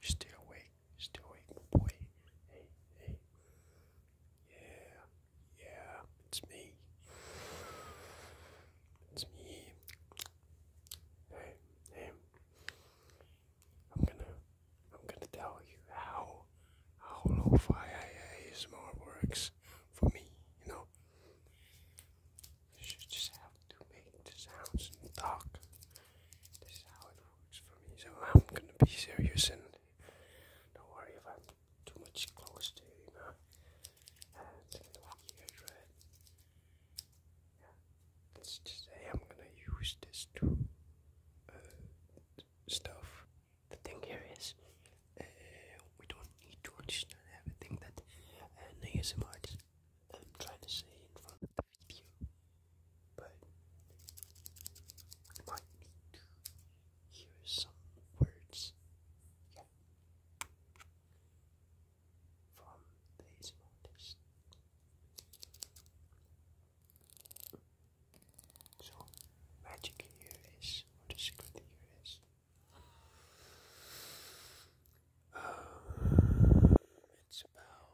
You're still awake, still awake, boy. Hey, hey. Yeah. Yeah, it's me. It's me. Hey, hey. I'm gonna I'm gonna tell you how how lo-fi ASMR works for me, you know. You should just to make the sounds and talk. This is how it works for me. So I'm gonna be serious and don't worry about too much close to you know and second one here right yeah let's I'm gonna use this to uh, stuff the thing here is uh, we don't need to understand everything that uh, ASMR is I'm um, trying to say in front of the but we might need to hear some words yeah from these motives. So magic here is, or the secret um, it's about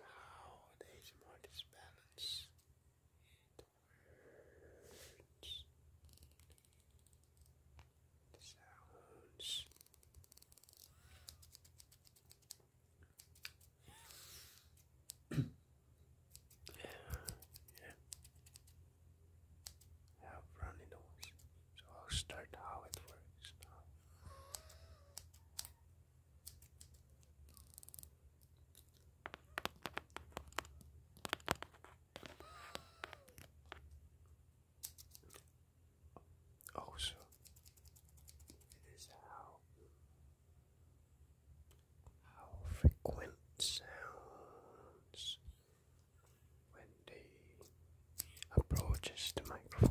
how these motives balance sounds. yeah. yeah. I have runny nose, so I'll start how it works now. Oh, so it is how how frequent sounds when they approaches the microphone.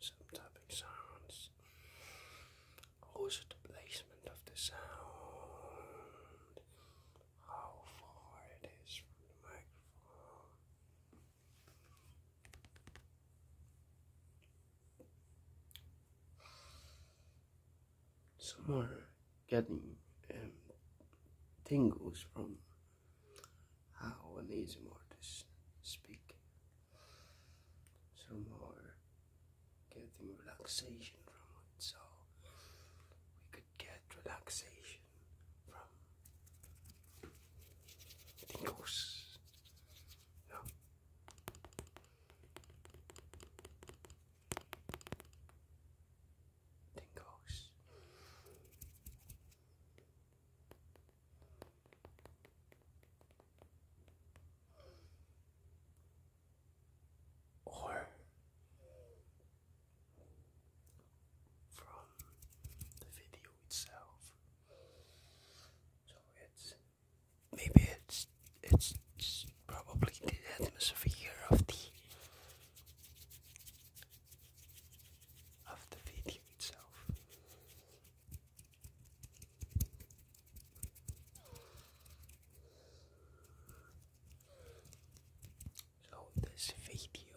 Some tapping sounds. Also, the placement of the sound, how far it is from the microphone. Some are getting um, tingles from how an ASM to speak. Some are getting relaxation from it, so we could get relaxation from Tingles. No. Tingles. Or from the video itself, so it's maybe it's it's probably the atmosphere of the of the video itself. So this video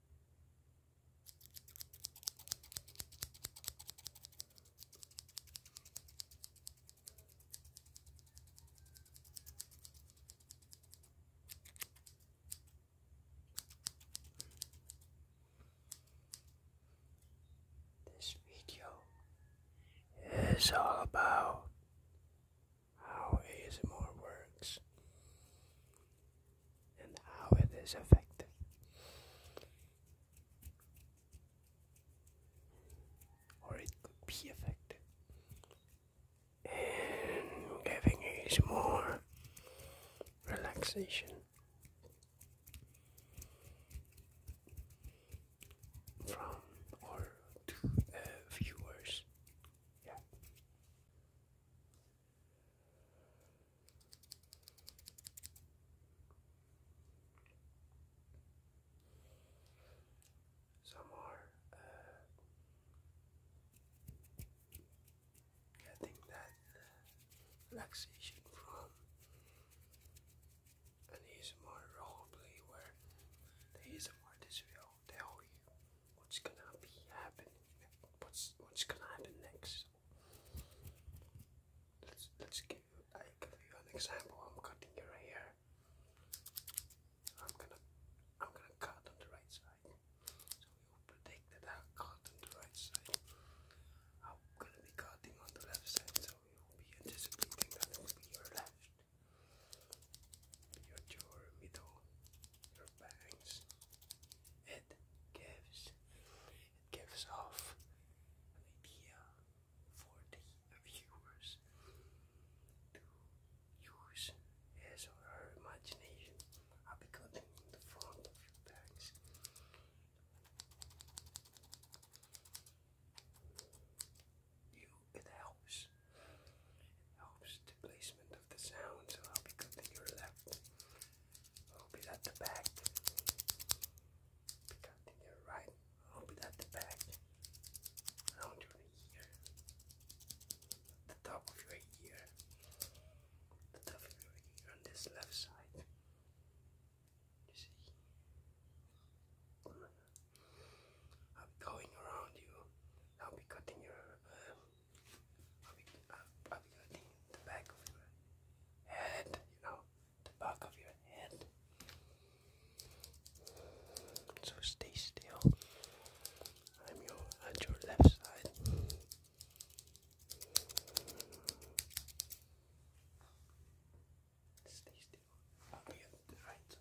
This video is all about how ASMR works and how it is effective. Or it could be effective. And giving is more relaxation. From or to viewers, yeah. Some are getting uh, that uh, relaxation from an ASMR roleplay where the ASMR this tell you what's gonna be happening. What's what's gonna happen next? Let's let's give I give you an example. I'm cutting your hair. I'm gonna I'm gonna cut on the right side. So you'll predict that I cut on the right side. I'm gonna be cutting on the left side, so you'll be anticipating that it will be your left your jaw, middle, your bangs. It gives it gives off an idea for the viewers to use his or imagination. I'll the front of your bangs. You, it helps helps the placement of the sound, so I'll be good your left. I'll be at the back. Pick your right. I'll be at the back. Around your ear. The top of your ear. The top of your ear on this left side. You see? I'm going around you. I'll be cutting your um, I'll be, I'll, be cutting the back of your head, you know, back of your head. So stay still. I'm your, at your left side. Stay still. I'll be at the right side.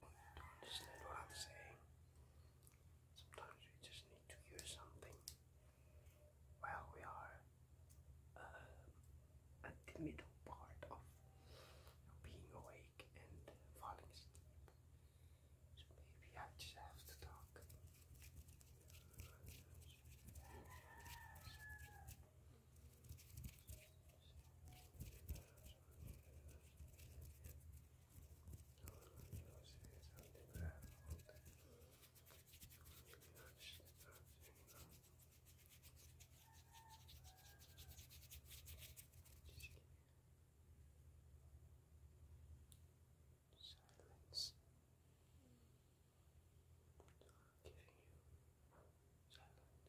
Don't understand what I'm saying. Sometimes we just need to hear something while we are uh, at the middle part of being away awake and falling asleep. So maybe I just have to talk silence. I'm giving you silence. And, and. Silence.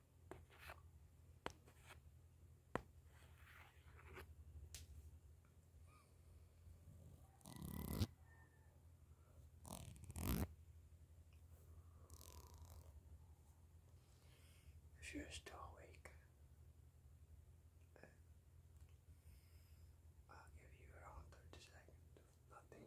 If you're still awake, I'll give you around 30 seconds nothing.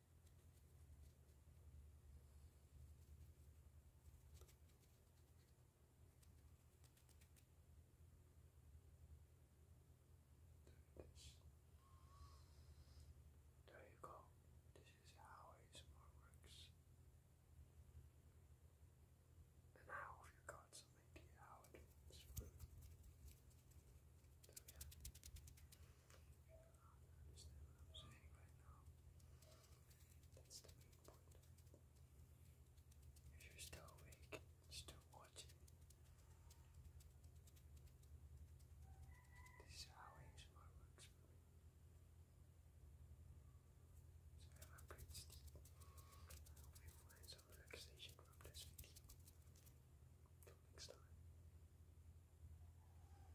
There you go. This is how ASMR works. And I hope you got some idea how it works. That's the main point. If you're still awake, still watching, this is how ASMR works So i a great sleep. I hope you find some relaxation from this video. Till next time.